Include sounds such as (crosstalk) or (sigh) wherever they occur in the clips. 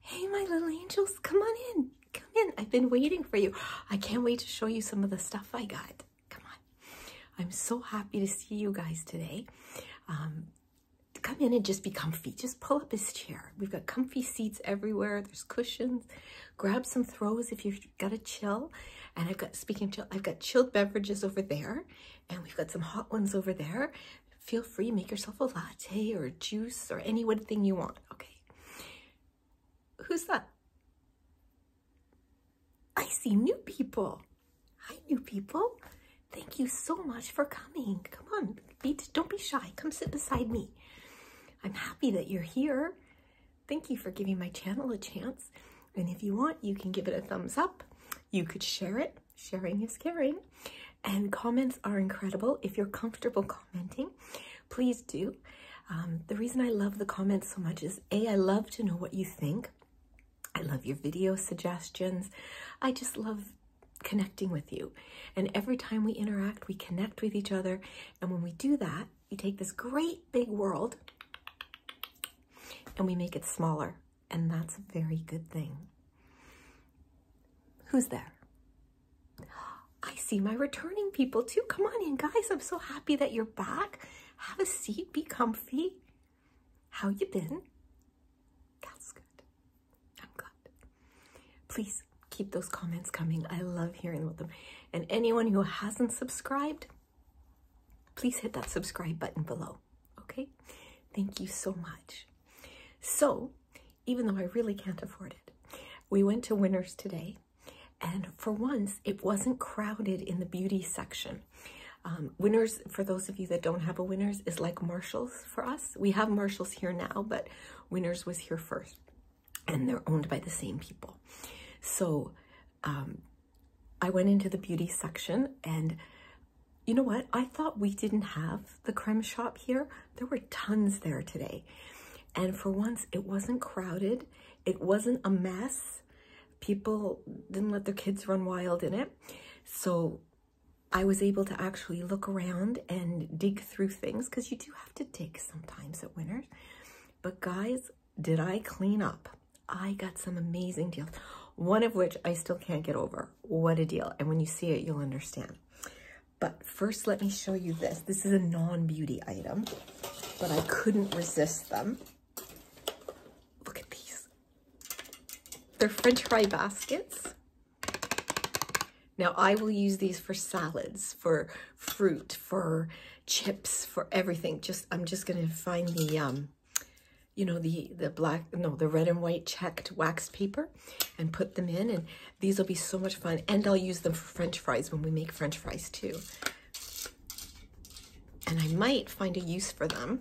Hey, my little angels, come on in. Come in. I've been waiting for you. I can't wait to show you some of the stuff I got. Come on. I'm so happy to see you guys today. Um, come in and just be comfy. Just pull up a chair. We've got comfy seats everywhere. There's cushions. Grab some throws if you've got a chill. And I've got, speaking chill, I've got chilled beverages over there. And we've got some hot ones over there feel free, make yourself a latte or juice or any one thing you want, okay? Who's that? I see new people. Hi, new people. Thank you so much for coming. Come on, be, don't be shy. Come sit beside me. I'm happy that you're here. Thank you for giving my channel a chance. And if you want, you can give it a thumbs up. You could share it. Sharing is caring and comments are incredible. If you're comfortable commenting, please do. Um, the reason I love the comments so much is A, I love to know what you think. I love your video suggestions. I just love connecting with you. And every time we interact, we connect with each other. And when we do that, we take this great big world and we make it smaller. And that's a very good thing. Who's there? I see my returning people too. Come on in, guys. I'm so happy that you're back. Have a seat. Be comfy. How you been? That's good. I'm glad. Please keep those comments coming. I love hearing about them. And anyone who hasn't subscribed, please hit that subscribe button below. Okay? Thank you so much. So, even though I really can't afford it. We went to Winners today, and for once, it wasn't crowded in the beauty section. Um, Winners, for those of you that don't have a Winners, is like Marshalls for us. We have Marshalls here now, but Winners was here first, and they're owned by the same people. So um, I went into the beauty section, and you know what? I thought we didn't have the creme shop here. There were tons there today. And for once, it wasn't crowded. It wasn't a mess. People didn't let their kids run wild in it. So I was able to actually look around and dig through things because you do have to dig sometimes at Winners. But guys, did I clean up? I got some amazing deals, one of which I still can't get over. What a deal. And when you see it, you'll understand. But first, let me show you this. This is a non-beauty item, but I couldn't resist them. Look at these. They're french fry baskets. Now, I will use these for salads, for fruit, for chips, for everything. Just I'm just going to find the um, you know, the, the black, no, the red and white checked waxed paper and put them in. And these will be so much fun. And I'll use them for french fries when we make french fries too. And I might find a use for them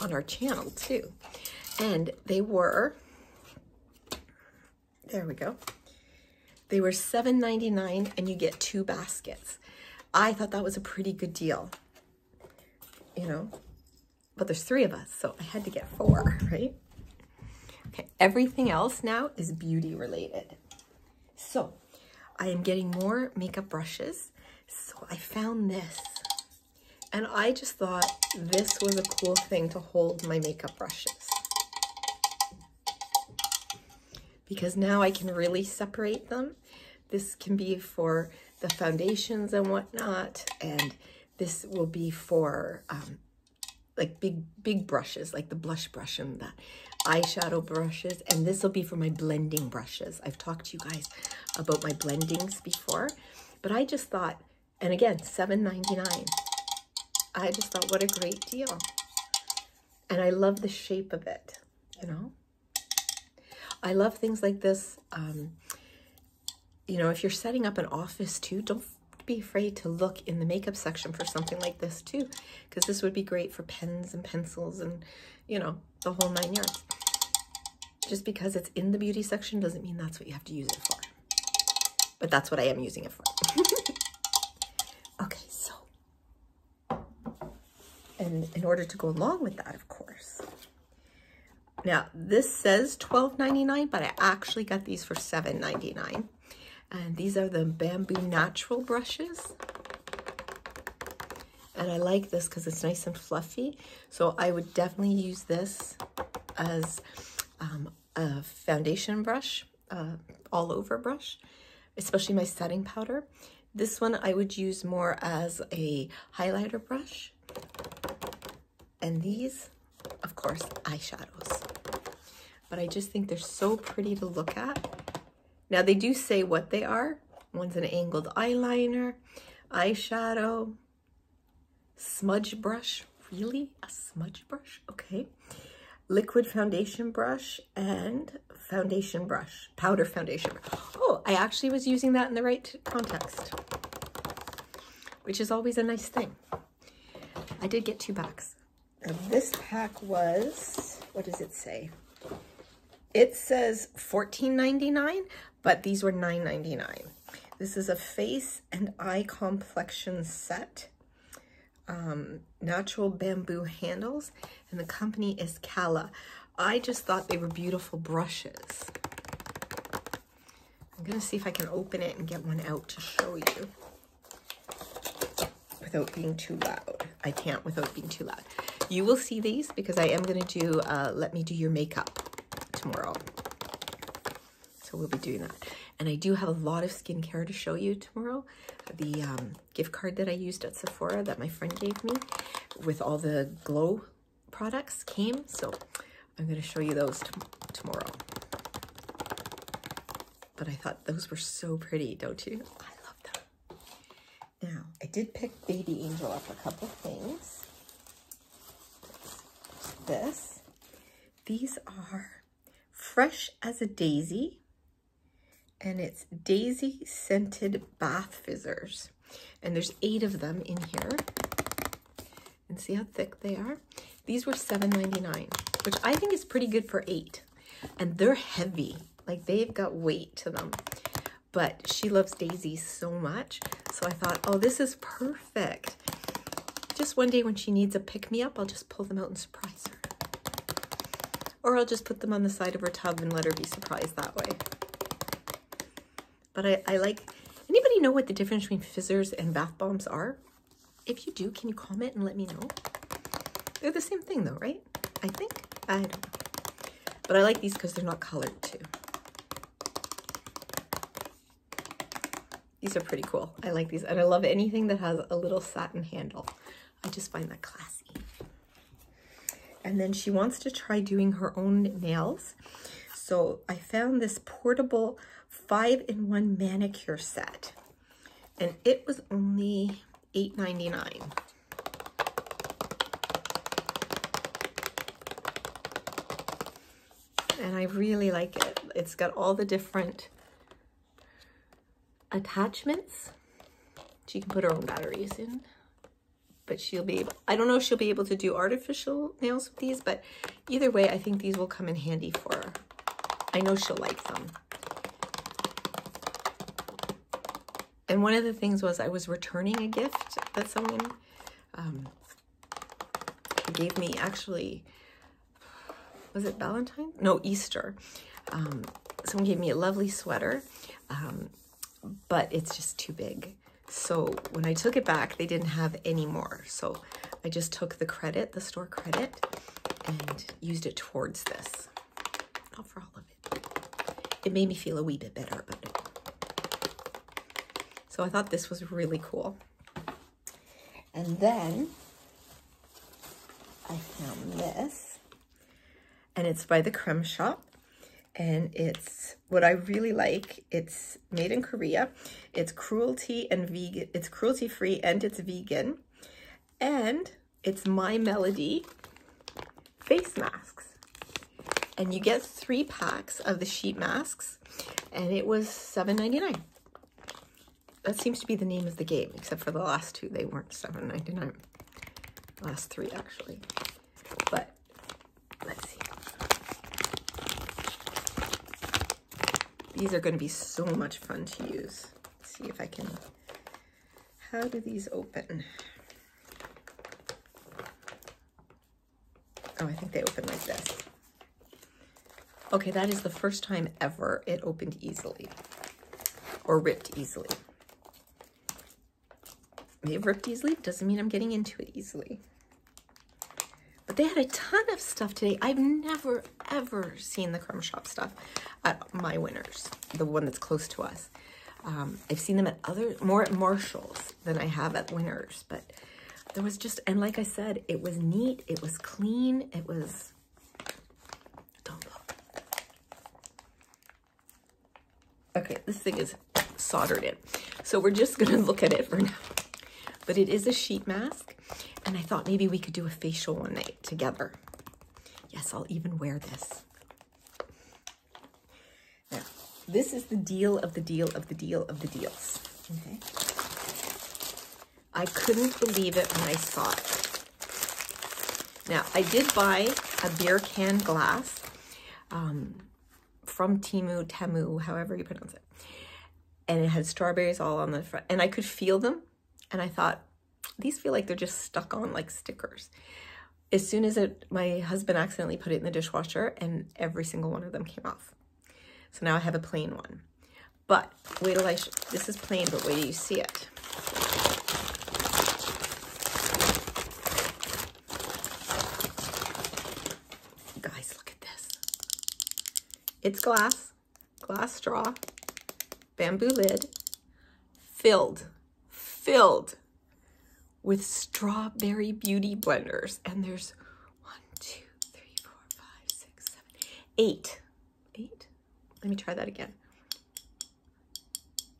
on our channel too. And they were, there we go. They were seven ninety nine and you get two baskets. I thought that was a pretty good deal. You know, but there's three of us, so I had to get four, right? Okay, everything else now is beauty related. So I am getting more makeup brushes. So I found this and I just thought this was a cool thing to hold my makeup brushes. Because now I can really separate them. This can be for the foundations and whatnot. And this will be for um, like big, big brushes, like the blush brush and the eyeshadow brushes. And this will be for my blending brushes. I've talked to you guys about my blendings before, but I just thought, and again, seven ninety nine. I just thought, what a great deal. And I love the shape of it, you know? I love things like this. Um, you know, if you're setting up an office too, don't be afraid to look in the makeup section for something like this too, because this would be great for pens and pencils and, you know, the whole nine yards. Just because it's in the beauty section doesn't mean that's what you have to use it for. But that's what I am using it for. (laughs) okay, so, and in order to go along with that, of course, now, this says $12.99, but I actually got these for $7.99. And these are the Bamboo Natural brushes. And I like this because it's nice and fluffy. So I would definitely use this as um, a foundation brush, uh, all over brush, especially my setting powder. This one I would use more as a highlighter brush and these, of course, eyeshadows. But I just think they're so pretty to look at. Now they do say what they are. One's an angled eyeliner, eyeshadow, smudge brush. Really? A smudge brush? Okay. Liquid foundation brush and foundation brush, powder foundation. Oh, I actually was using that in the right context, which is always a nice thing. I did get two packs. this pack was, what does it say? It says $14.99, but these were $9.99. This is a face and eye complexion set. Um, natural bamboo handles, and the company is Kala. I just thought they were beautiful brushes. I'm going to see if I can open it and get one out to show you without being too loud. I can't without being too loud. You will see these because I am going to do uh, Let Me Do Your Makeup tomorrow. So we'll be doing that. And I do have a lot of skincare to show you tomorrow. The um, gift card that I used at Sephora that my friend gave me with all the glow products came. So I'm going to show you those tomorrow. But I thought those were so pretty, don't you? I love them. Now, I did pick Baby Angel up a couple things. This. These are Fresh as a Daisy. And it's Daisy Scented Bath Fizzers. And there's eight of them in here. And see how thick they are? These were $7.99, which I think is pretty good for eight. And they're heavy, like they've got weight to them. But she loves Daisy so much. So I thought, oh, this is perfect. Just one day when she needs a pick-me-up, I'll just pull them out and surprise her. Or I'll just put them on the side of her tub and let her be surprised that way. But I, I like, anybody know what the difference between fizzers and bath bombs are? If you do, can you comment and let me know? They're the same thing though, right? I think, I don't know. But I like these because they're not colored too. These are pretty cool. I like these. And I love anything that has a little satin handle. I just find that classy. And then she wants to try doing her own nails. So I found this portable five-in-one manicure set. And it was only eight ninety nine. And I really like it. It's got all the different attachments. She can put her own batteries in but she'll be able, I don't know if she'll be able to do artificial nails with these, but either way, I think these will come in handy for I know she'll like them. And one of the things was I was returning a gift that someone um, gave me actually, was it Valentine? No, Easter. Um, someone gave me a lovely sweater um, but it's just too big. So when I took it back, they didn't have any more. So I just took the credit, the store credit, and used it towards this. Not for all of it. It made me feel a wee bit better about it. So I thought this was really cool. And then I found this. And it's by the Creme Shop and it's what I really like. It's made in Korea. It's cruelty and vegan. It's cruelty free and it's vegan. And it's My Melody face masks. And you get three packs of the sheet masks and it was seven ninety nine. That seems to be the name of the game, except for the last two, they were not ninety nine. Last three actually. But Let's see. These are going to be so much fun to use. Let's see if I can... How do these open? Oh, I think they open like this. Okay, that is the first time ever it opened easily or ripped easily. They've ripped easily. Doesn't mean I'm getting into it easily. But they had a ton of stuff today. I've never, ever seen the crumb shop stuff at my Winners, the one that's close to us. Um, I've seen them at other, more at Marshall's than I have at Winners. But there was just, and like I said, it was neat. It was clean. It was, don't look. Okay, this thing is soldered in. So we're just gonna look at it for now. But it is a sheet mask, and I thought maybe we could do a facial one night together. Yes, I'll even wear this. Now, this is the deal of the deal of the deal of the deals, okay? I couldn't believe it when I saw it. Now, I did buy a beer can glass. Um, from Timu, Temu, however you pronounce it. And it had strawberries all on the front. And I could feel them. And I thought, these feel like they're just stuck on like stickers. As soon as it, my husband accidentally put it in the dishwasher and every single one of them came off. So now I have a plain one. But wait till I, this is plain, but wait till you see it. Guys, look at this. It's glass, glass straw, bamboo lid, filled, filled with strawberry beauty blenders. And there's one, two, three, four, five, six, seven, eight, eight. Let me try that again.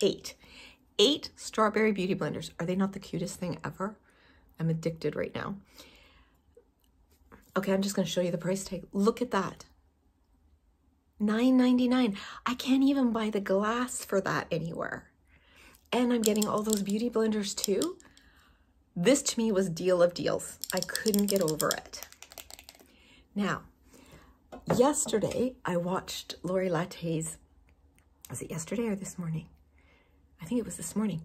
Eight. Eight Strawberry Beauty Blenders. Are they not the cutest thing ever? I'm addicted right now. Okay, I'm just going to show you the price tag. Look at that. Nine ninety nine. I can't even buy the glass for that anywhere. And I'm getting all those beauty blenders too. This to me was deal of deals. I couldn't get over it. Now, yesterday I watched Lori Latte's was it yesterday or this morning? I think it was this morning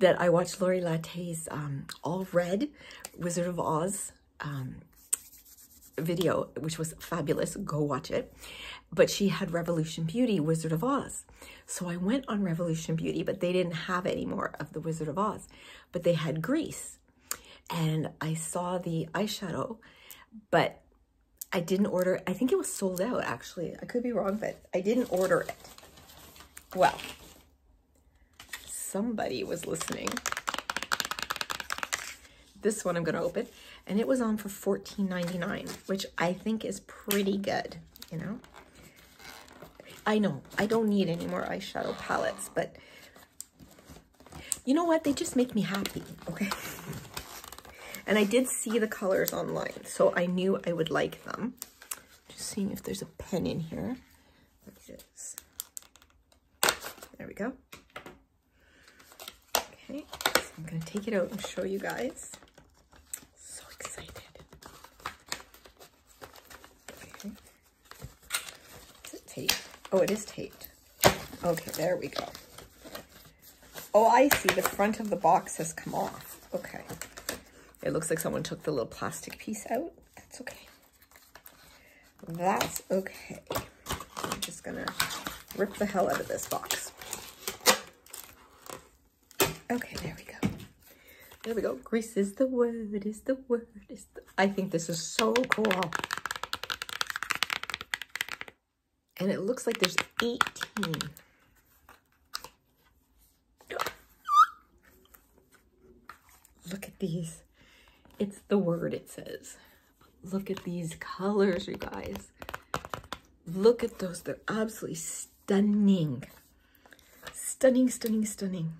that I watched Lori Latte's um, All Red Wizard of Oz um, video, which was fabulous. Go watch it. But she had Revolution Beauty, Wizard of Oz. So I went on Revolution Beauty, but they didn't have any more of the Wizard of Oz. But they had Grease. And I saw the eyeshadow, but I didn't order, I think it was sold out actually. I could be wrong, but I didn't order it. Well, somebody was listening. This one I'm gonna open, and it was on for fourteen ninety nine, which I think is pretty good, you know? I know, I don't need any more eyeshadow palettes, but you know what? They just make me happy, okay? And I did see the colors online, so I knew I would like them. Just seeing if there's a pen in here. There we go. Okay, I'm gonna take it out and show you guys. So excited. Okay. Is it tape? Oh, it is taped. Okay, there we go. Oh, I see. The front of the box has come off. Okay. It looks like someone took the little plastic piece out. That's okay. That's okay. I'm just going to rip the hell out of this box. Okay, there we go. There we go. Grease is the word, is the word, is I think this is so cool. And it looks like there's 18. Look at these. It's the word it says. Look at these colors, you guys. Look at those. They're absolutely stunning. Stunning, stunning, stunning.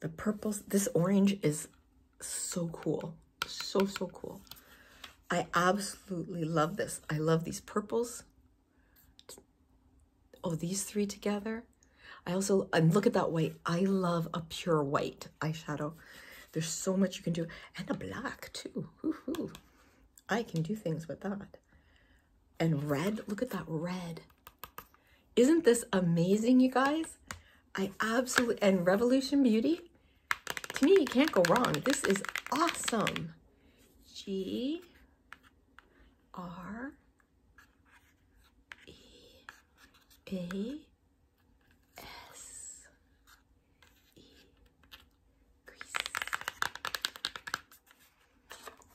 The purples. This orange is so cool. So, so cool. I absolutely love this. I love these purples. Oh, these three together. I also, and look at that white. I love a pure white eyeshadow. There's so much you can do. And a black too. Woohoo. I can do things with that. And red, look at that red. Isn't this amazing, you guys? I absolutely, and Revolution Beauty, to me, you can't go wrong. This is awesome. G R E A S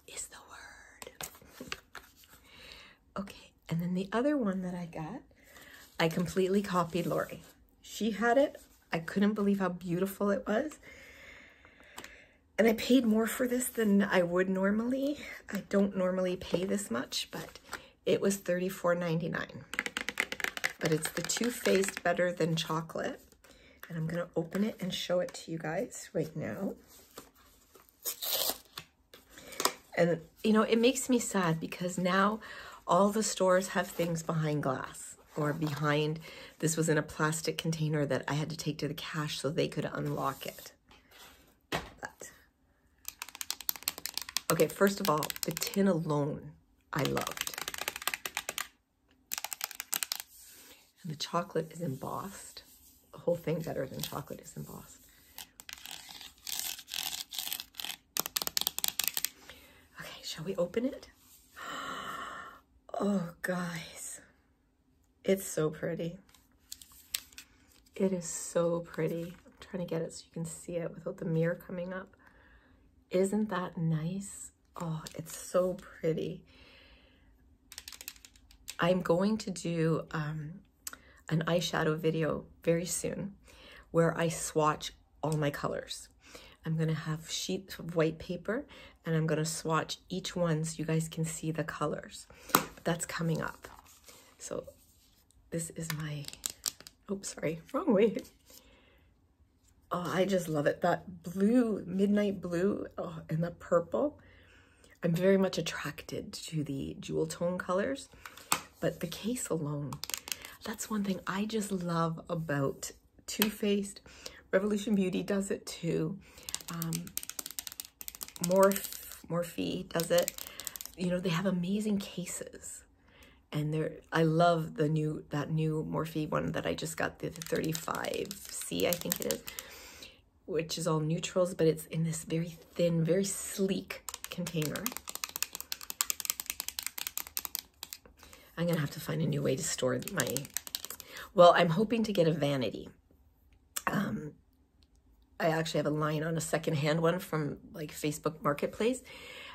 is the word. okay, and then the other one that I got, I completely copied Lori. She had it. I couldn't believe how beautiful it was. And I paid more for this than I would normally. I don't normally pay this much, but it was $34.99. But it's the two Faced Better Than Chocolate. And I'm going to open it and show it to you guys right now. And you know, it makes me sad because now all the stores have things behind glass or behind, this was in a plastic container that I had to take to the cash so they could unlock it. But, okay, first of all, the tin alone I loved. And the chocolate is embossed. The whole thing better than chocolate is embossed. Okay, shall we open it? (gasps) Oh, guys. It's so pretty. It is so pretty. I'm trying to get it so you can see it without the mirror coming up. Isn't that nice? Oh, it's so pretty. I'm going to do um, an eyeshadow video very soon where I swatch all my colors. I'm gonna have sheets of white paper and I'm gonna swatch each one so you guys can see the colors. that's coming up. So this is my, Oh, sorry, (laughs) wrong way. Oh, I just love it. That blue, midnight blue, oh, and the purple. I'm very much attracted to the jewel tone colors. But the case alone, that's one thing I just love about Too Faced. Revolution Beauty does it too. Um, Morph, Morphe does it. You know, they have amazing cases. And they're, I love the new, that new Morphe one that I just got, the 35C, I think it is, which is all neutrals, but it's in this very thin, very sleek container. I'm going to have to find a new way to store my, well, I'm hoping to get a vanity. Um, I actually have a line on a secondhand one from like Facebook Marketplace.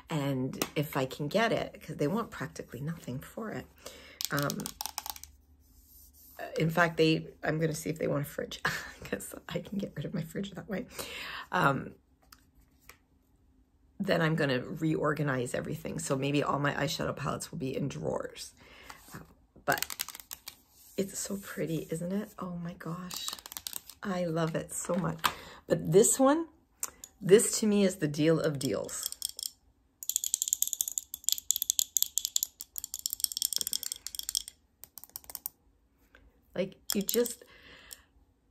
And if I can get it, because they want practically nothing for it. Um, in fact, they, I'm going to see if they want a fridge because (laughs) I can get rid of my fridge that way. Um, then I'm going to reorganize everything. So maybe all my eyeshadow palettes will be in drawers. Uh, but it's so pretty, isn't it? Oh my gosh. I love it so much. But this one, this to me is the deal of deals. Like you just,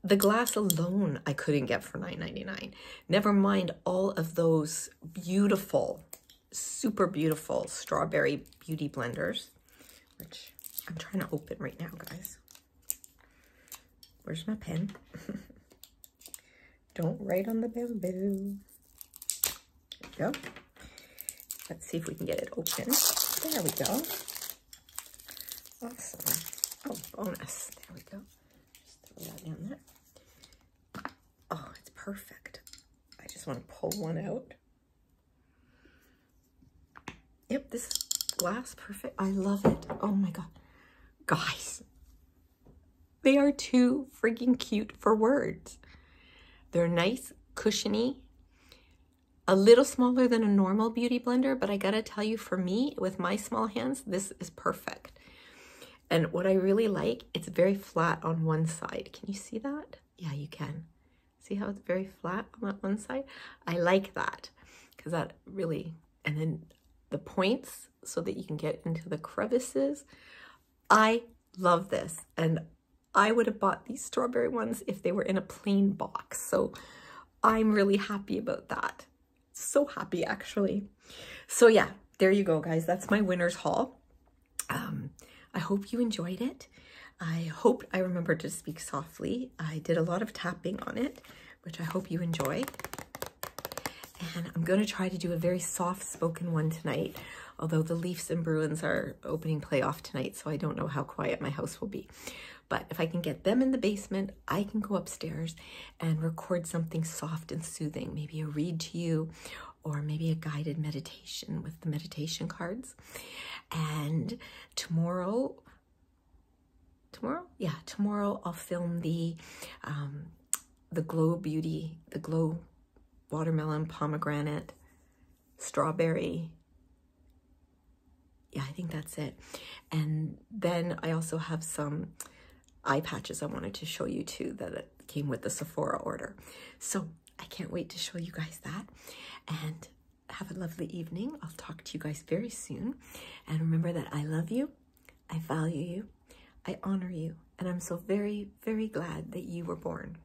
the glass alone I couldn't get for nine ninety nine. Never mind all of those beautiful, super beautiful strawberry beauty blenders, which I'm trying to open right now, guys. Where's my pen? (laughs) Don't write on the bamboo. There we go. Let's see if we can get it open. There we go. Awesome. Oh, bonus. There we go. Just throw that down there. Oh, it's perfect. I just want to pull one out. Yep, this glass perfect. I love it. Oh my God. Guys, they are too freaking cute for words. They're nice, cushiony, a little smaller than a normal beauty blender, but I gotta tell you, for me, with my small hands, this is perfect. And what I really like, it's very flat on one side. Can you see that? Yeah, you can. See how it's very flat on that one side? I like that because that really, and then the points so that you can get into the crevices. I love this. And I would have bought these strawberry ones if they were in a plain box. So I'm really happy about that. So happy, actually. So yeah, there you go, guys. That's my winner's haul. Um, I hope you enjoyed it. I hope I remembered to speak softly. I did a lot of tapping on it, which I hope you enjoy. And I'm going to try to do a very soft-spoken one tonight, although the Leafs and Bruins are opening playoff tonight, so I don't know how quiet my house will be. But if I can get them in the basement, I can go upstairs and record something soft and soothing, maybe a read to you or maybe a guided meditation with the meditation cards. And tomorrow, tomorrow? Yeah, tomorrow I'll film the um, the Glow Beauty, the Glow Watermelon Pomegranate Strawberry yeah, I think that's it. And then I also have some eye patches I wanted to show you too that came with the Sephora order. So I can't wait to show you guys that. And have a lovely evening. I'll talk to you guys very soon. And remember that I love you, I value you, I honor you, and I'm so very, very glad that you were born.